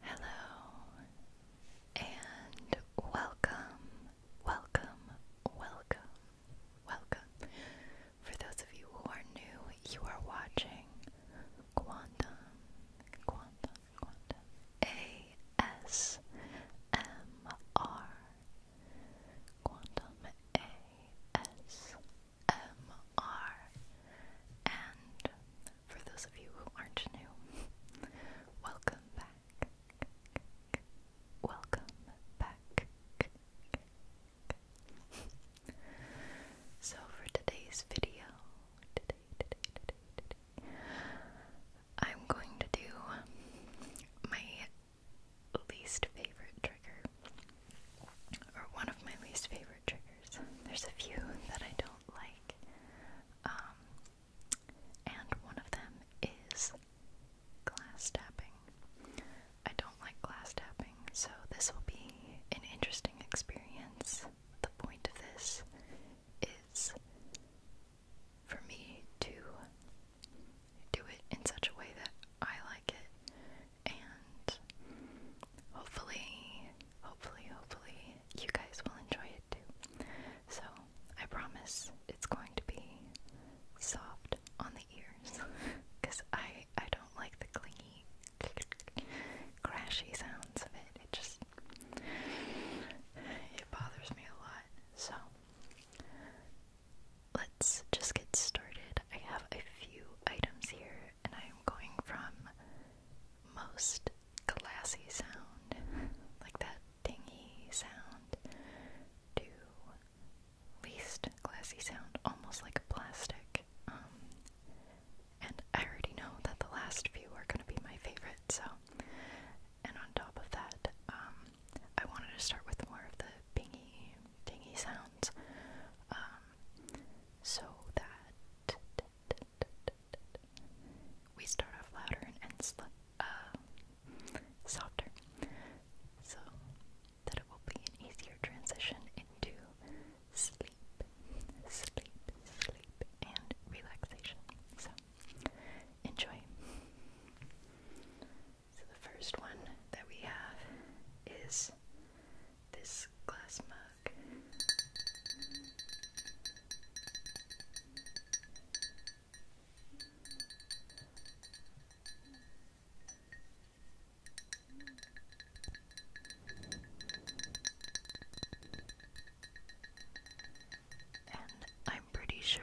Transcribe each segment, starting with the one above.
Hello and welcome, welcome, welcome, welcome. For those of you who are new, you are watching Quantum, Quantum, Quantum ASMR, Quantum ASMR. ASMR. And for those of you who aren't new, welcome back. Welcome back. So for today's video, I'm going to do my least favorite trigger, or one of my least favorite there's a few that I don't like. Um, and one of them is glass tapping. I don't like glass tapping, so this will be an interesting experience. The point of this is for me to do it in such a way that I like it and hopefully, hopefully, hopefully, you guys will enjoy it too. So, I promise it's going to be soft on the ears because I, I don't like the clingy, crashy sounds of it. It just it bothers me a lot. So, let's just get started. I have a few items here and I am going from most glassy sound, like that dingy sound, to least glassy sound, almost like plastic. Um, and I already know that the last few are going to be my favorite, so. And on top of that, um, I wanted to start with more of the bingy, dingy sounds, um, so that we start off louder and end sl uh, softer, so that it will be an easier transition into sleep, sleep, sleep, and relaxation. So enjoy. So the first one that we have is this glass mug. And I'm pretty sure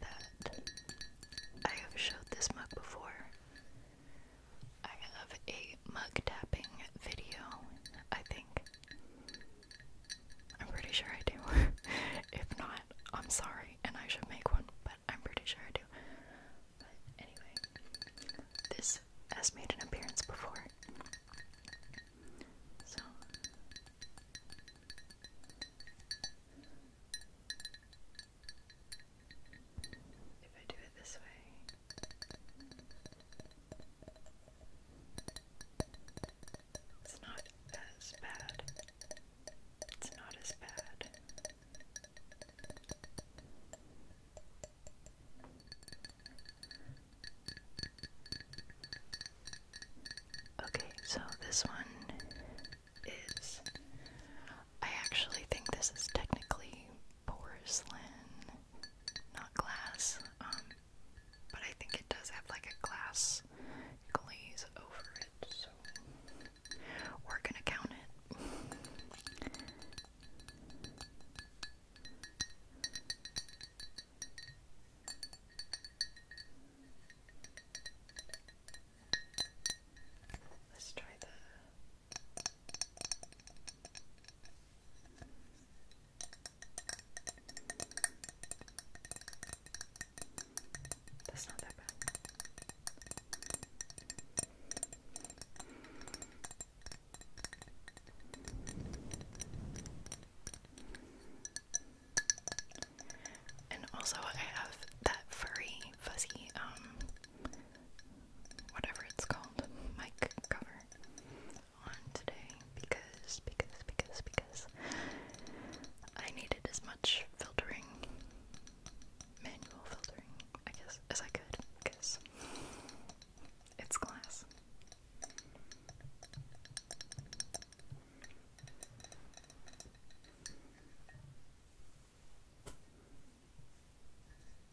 that I have showed this mug before. I have a mug tapping video, I think. I'm pretty sure I do. if not, I'm sorry, and I should make one, but I'm pretty sure I do. But anyway, this has made an appearance before. So. If I do it this way. It's not as bad. It's not as bad. Okay, so this one is. I actually think this is technically porcelain, not glass, um, but I think it does have like a glass glaze over it, so we're gonna count it. Let's try the that's not that bad. And also I have that furry fuzzy um whatever it's called, mic cover on today because, because, because, because I needed as much filtering, manual filtering, I guess, as I could because it's glass.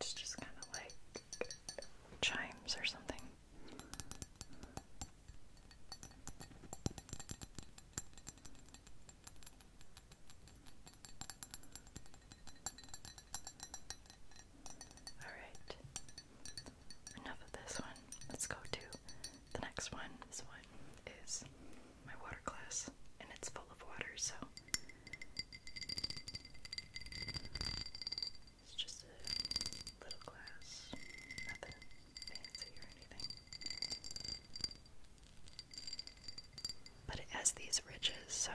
It's just kind of like chimes or something. Alright, enough of this one. Let's go to the next one. This one is my water glass, and it's full of water, so it's just a little glass, nothing fancy or anything. But it has these ridges, so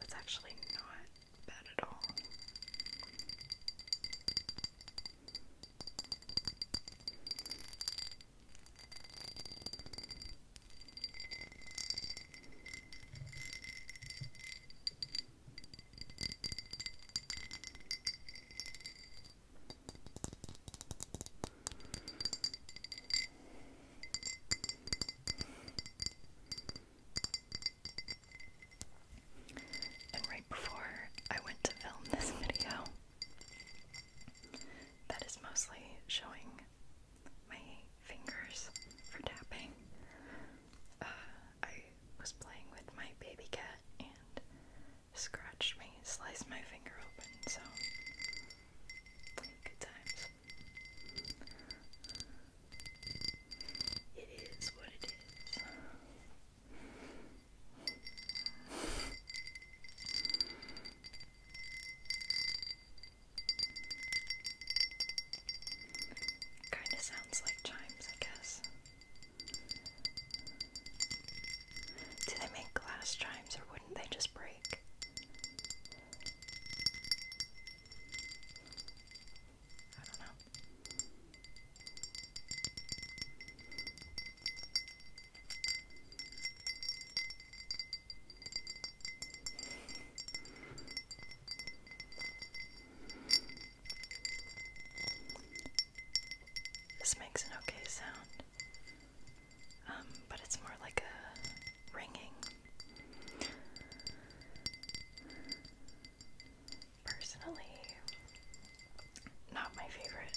that's actually not bad at all. And right before I went to film this video, that is mostly showing my fingers for tapping. Uh, I was playing with my baby cat and scratched me, sliced my finger open, so good times. It is what it is. Kind of sounds like chimes, I guess. Do they make glass chimes or wouldn't they just break? I don't know. This makes an okay sound, um, but it's more like a ringing. Personally, not my favorite.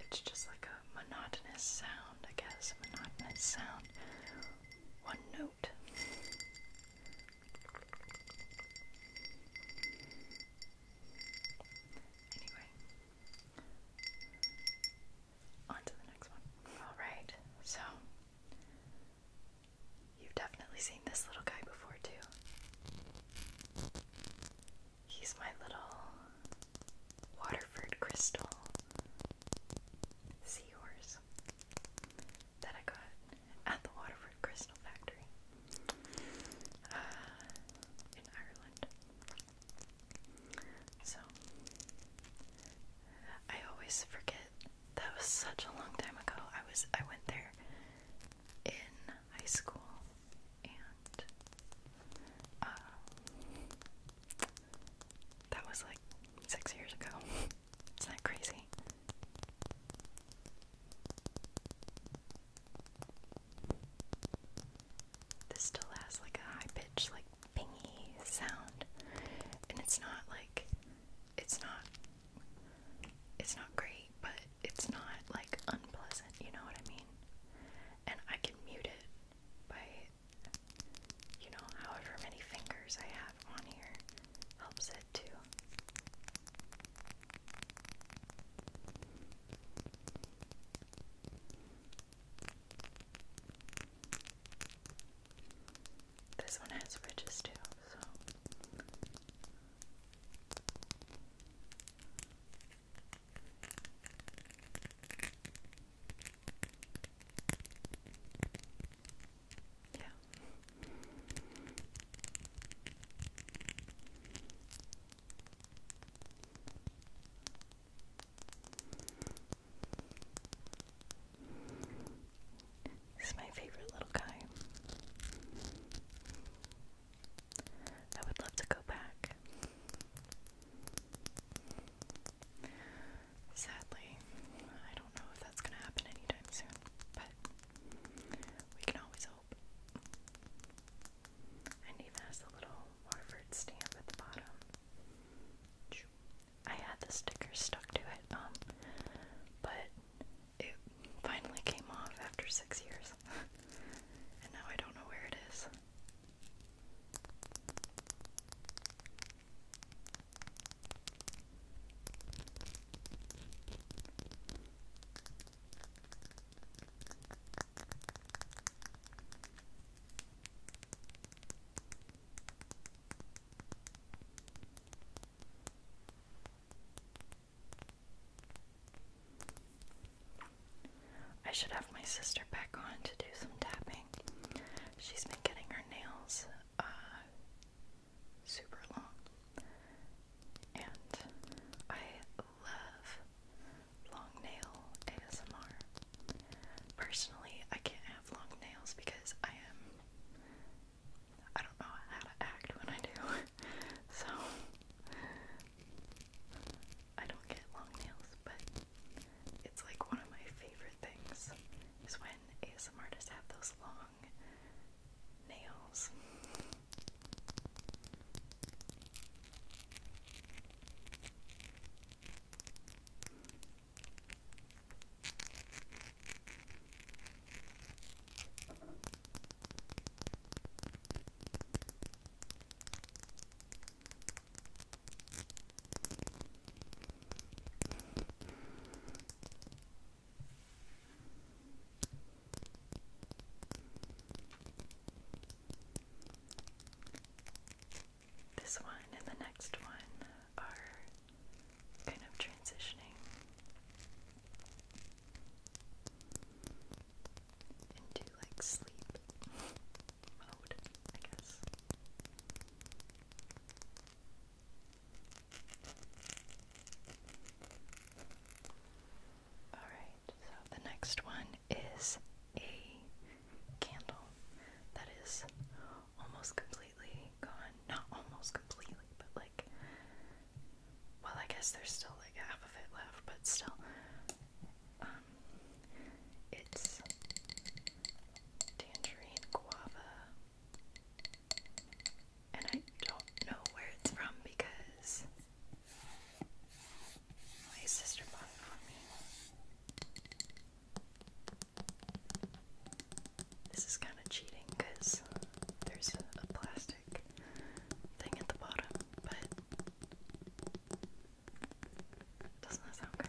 It's just like a monotonous sound, I guess, a monotonous sound. One note. Anyway, on to the next one. Alright, so you've definitely seen this little guy before, too. He's my little Waterford crystal seahorse that I got at the Waterford Crystal Factory uh, in Ireland. So, I always forget. That was such a long time ago. I was I went there in high school and uh, that was like six years ago. It's not crazy? This still has like a high pitched, like pingy sound, and it's not like it's not it's not great, but it's not like unpleasant, you know what I mean? And I can mute it by, you know, however many fingers I have on here helps it too. This one has ridges too, so yeah. This is my favorite little guy. I would love to go back. Sadly, I don't know if that's going to happen anytime soon, but we can always hope. And even has a little Waterford stamp at the bottom. I had the sticker stuck to it, um, but it finally came off after six years was. and now I don't know where it is. I should have my sister back on to do some tapping. She's been getting her nails uh, super long, and I love long nail ASMR. Personally, I can't have long nails because I am. I don't know how to act when I do. so I don't get long nails, but it's like one of my favorite things is when ASM artists have those long nails. This one and the next one are kind of transitioning into like sleep mode, I guess. Alright, so the next one is a candle that is almost completely gone. Not almost completely, but like well, I guess there's still like half of it left, but still, um, it's tangerine guava, and I don't know where it's from because my sister bought it for me. This is kind of cheating because there's a plastic thing at the bottom, but doesn't that sound good?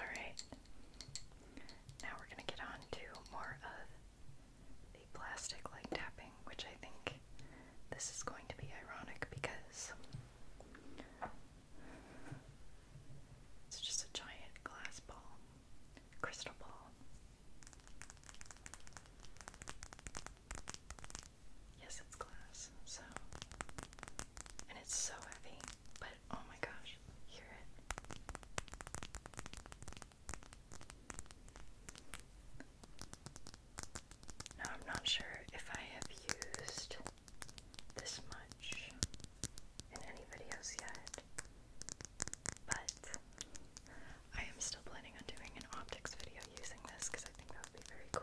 All right. Now we're going to get on to more of the plastic light tapping, which I think this is going to be ironic because it's just a giant glass ball crystal ball. Yes, it's glass, so. And it's so heavy, but oh my gosh, hear it. Now, I'm not sure if I have used this much in any videos yet, but I am still planning on doing an optics video using this because I think that would be very cool.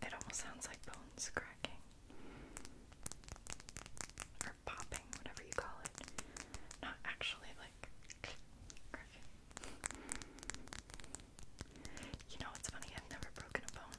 It almost sounds like bones cracking or popping, whatever you call it. Not actually like cracking. You know, it's funny, I've never broken a bone.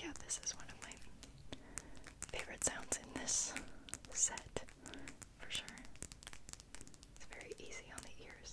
Yeah, this is one of my favorite sounds in this set, for sure. It's very easy on the ears.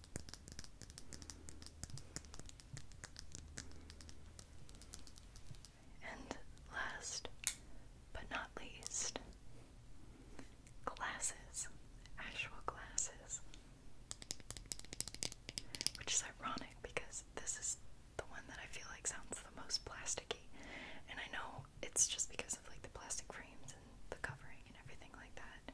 And last but not least, glasses, actual glasses. Which is ironic because this is the one that I feel like sounds the most plasticky. And I know it's just because of like the plastic frames and the covering and everything like that.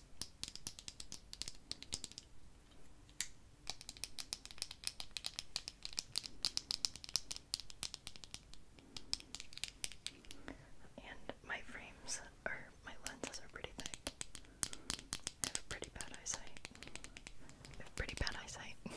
and my frames or my lenses are pretty thick. I have pretty bad eyesight. I have pretty bad eyesight.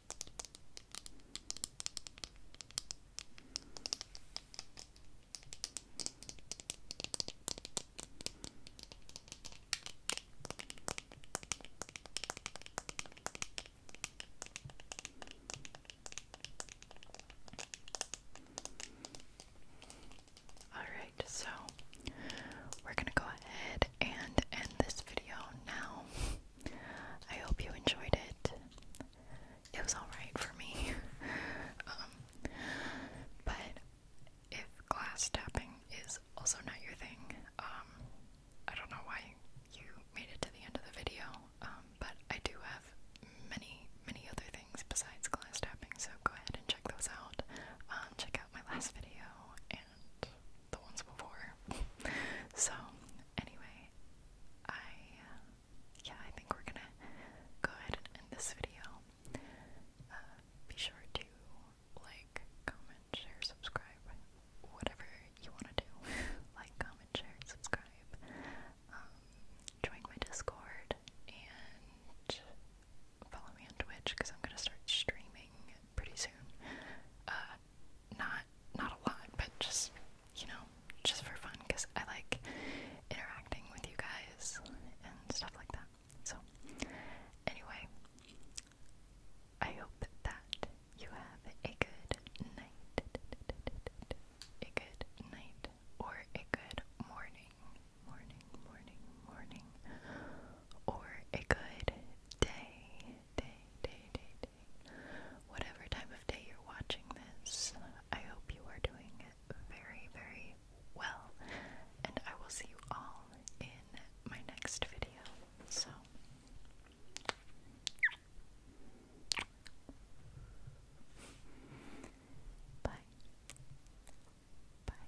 All right, so we're going to go ahead and end this video now. I hope you enjoyed it. It was alright for me. Um, but if glass tapping is also not your thing, um, I don't know why you made it to the end of the video, um, but I do have many, many other things besides glass tapping, so go ahead and check those out. check out my last video the ones before. so, anyway, I uh, yeah, I think we're gonna go ahead and end this video. Uh, be sure to like, comment, share, subscribe, whatever you want to do. like, comment, share, subscribe. Um, join my Discord and follow me on Twitch because I'm gonna start streaming pretty soon. Uh, not not a lot, but just you know, just for fun because I like interacting with you guys and stuff like that. So anyway, I hope that you have a good night, a good night, or a good morning, morning, morning, morning, or a good day, day, day, day, whatever time of day you're watching this. I hope you are doing very, very well, and I will see you all in my next video. So, bye. Bye.